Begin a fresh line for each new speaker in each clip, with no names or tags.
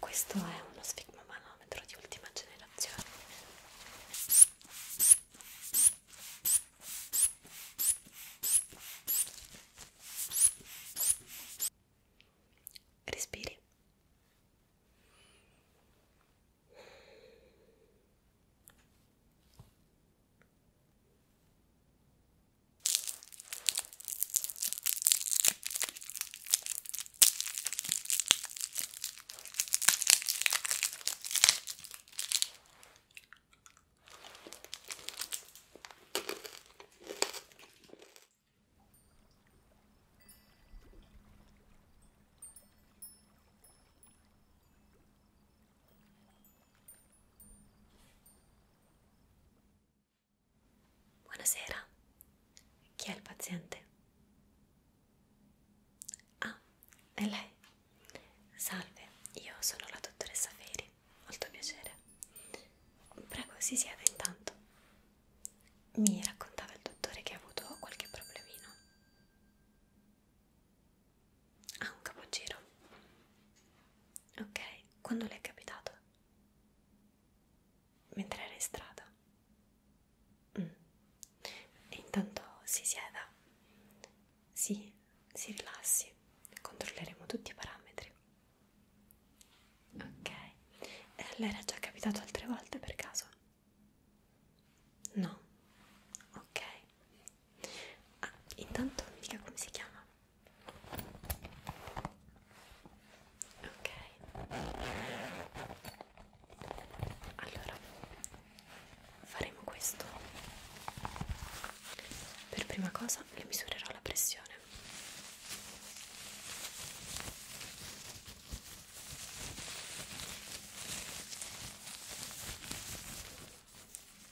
Questo è uno sfigmomanometro di ultima generazione. Respiri. Buonasera, chi è il paziente? Ah, è lei. Salve, io sono la dottoressa Feri, molto piacere. Prego, si sieda intanto mi raccontava il dottore che ha avuto qualche problemino. Ha ah, un capogiro. Ok, quando le è capitato? Mentre era in strada. Mm. E intanto si sieda. Sì, si rilassi. Controlleremo tutti i parametri. Ok, le era già capitato altre volte per caso? No, ok. Ah, intanto mi dica come si chiama. Ok. Allora, faremo questo. Per prima cosa le misurerò la pressione.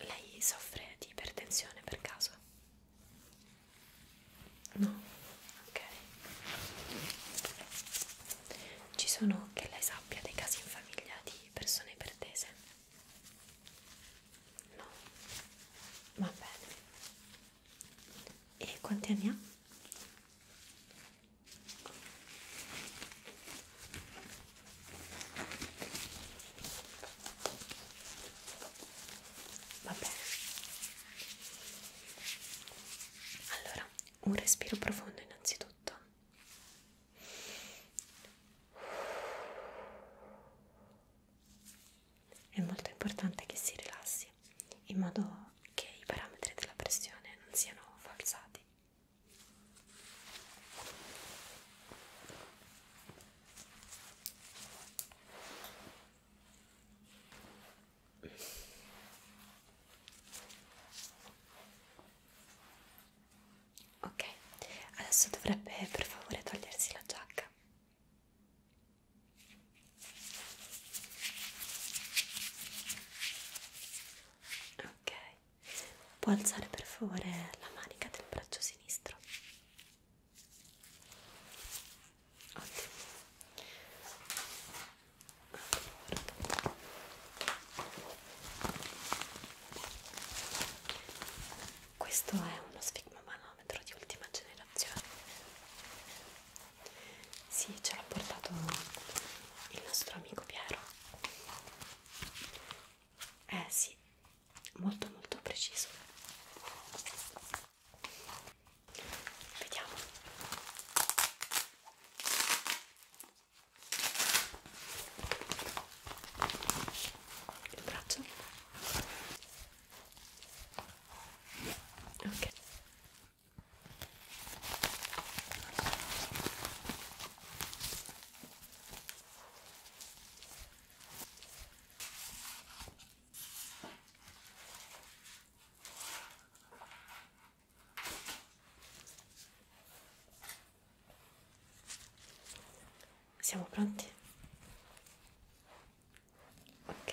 Lei soffre di ipertensione per caso? No? Ok. Ci sono, che lei sappia, dei casi in famiglia di persone ipertese? No? Va bene. E quanti anni ha? Vabbè. Allora, un respiro profondo innanzitutto. È molto importante che si rilassi in modo che i parametri della pressione non siano falsati. Ok, adesso dovrebbe per favore togliersi la giacca. Ok, può alzare per favore la manica del braccio sinistro. Ottimo. Allora. Questo è uno sfigmomanometro di ultima generazione sì, ce l'ha portato il nostro amico Piero. Eh sì, molto molto preciso. Vediamo. Il braccio. Ok. Siamo pronti? Ok.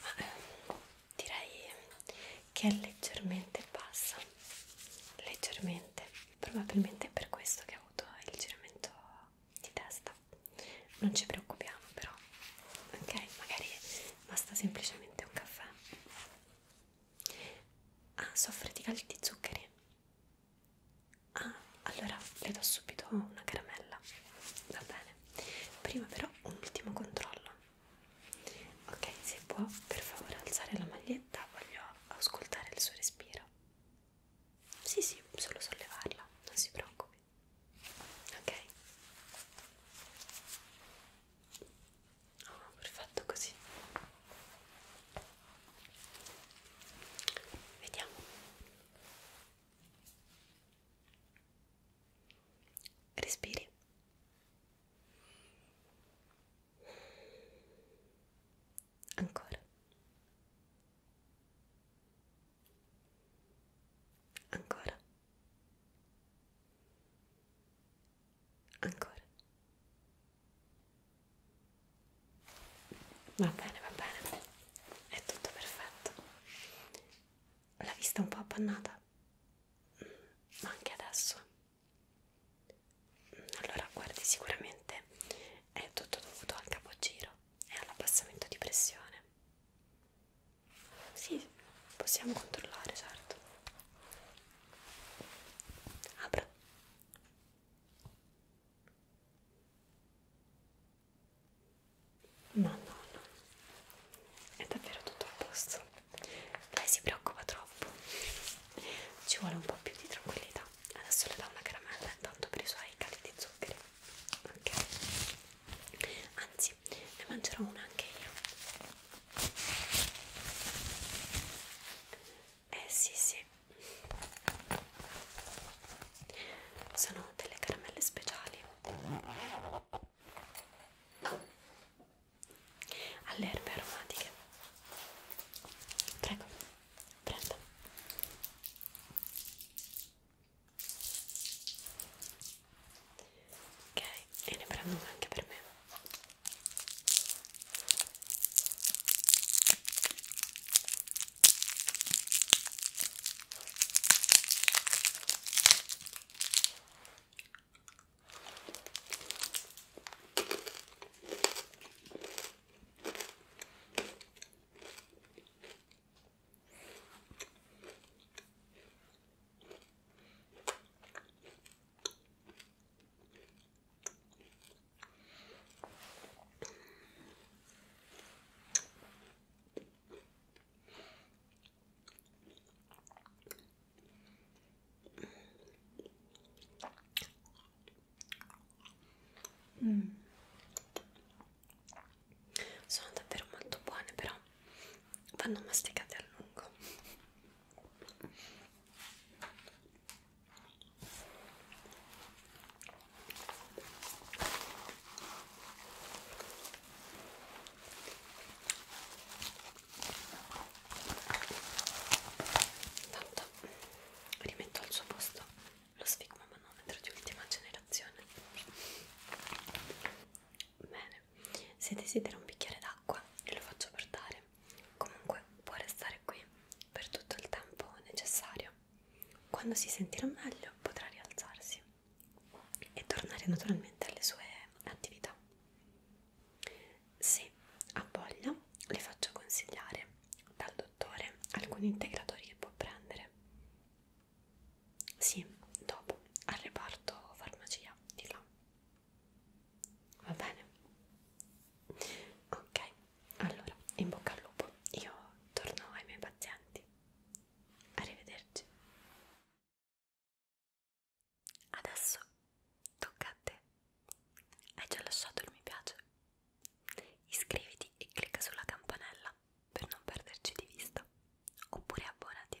Ma ehm, direi che è leggermente bassa, leggermente, probabilmente è per questo che ha avuto il giramento di testa. Non ci preoccupiamo però, ok? Magari basta semplicemente un caffè. Ah, soffre di calci di zuccheri? Ah, allora le do subito una caramella. Va bene. Prima però un ultimo controllo. Ok, se può per favore alzare la maglietta, voglio ascoltare il suo respiro. Sì, sì, solo sollevarla, non si preoccupi. Ok. Oh, perfetto così. Vediamo. Respiri. Ancora. Ancora. Ancora. Va bene, va bene. È tutto perfetto. La vista un po' appannata. Ma anche adesso. Allora, guardi, sicuramente è tutto dovuto al capogiro e all'abbassamento di pressione. Sì, possiamo controllare, certo. Apra. Ma no, no, è davvero tutto a posto. Lei si preoccupa troppo. Ci vuole un po' più di tranquillità. Adesso le do una caramella, tanto per i suoi cali di zuccheri. Ok. Anzi, ne mangerò una anche io. Eh sì sì sono delle caramelle speciali alle erbe aromatiche prego prenda ok e ne prendo una anche per me ok Mm. Sono davvero molto buone, però vanno masticate a lungo Tanto rimetto al suo posto lo sfigma manometro di ultima generazione. Bene, se desidera un bicchiere d'acqua lo faccio portare comunque può restare qui per tutto il tempo necessario quando si sentirà meglio potrà rialzarsi e tornare naturalmente alle sue attività se ha voglia le faccio consigliare dal dottore alcuni integratori che può prendere sì, dopo al reparto farmacia di là va bene? Ok, allora in bocca al lupo, io torno ai miei pazienti. Arrivederci. Adesso tocca a te. Hai già lasciato il mi piace? Iscriviti e clicca sulla campanella per non perderci di vista. Oppure abbonati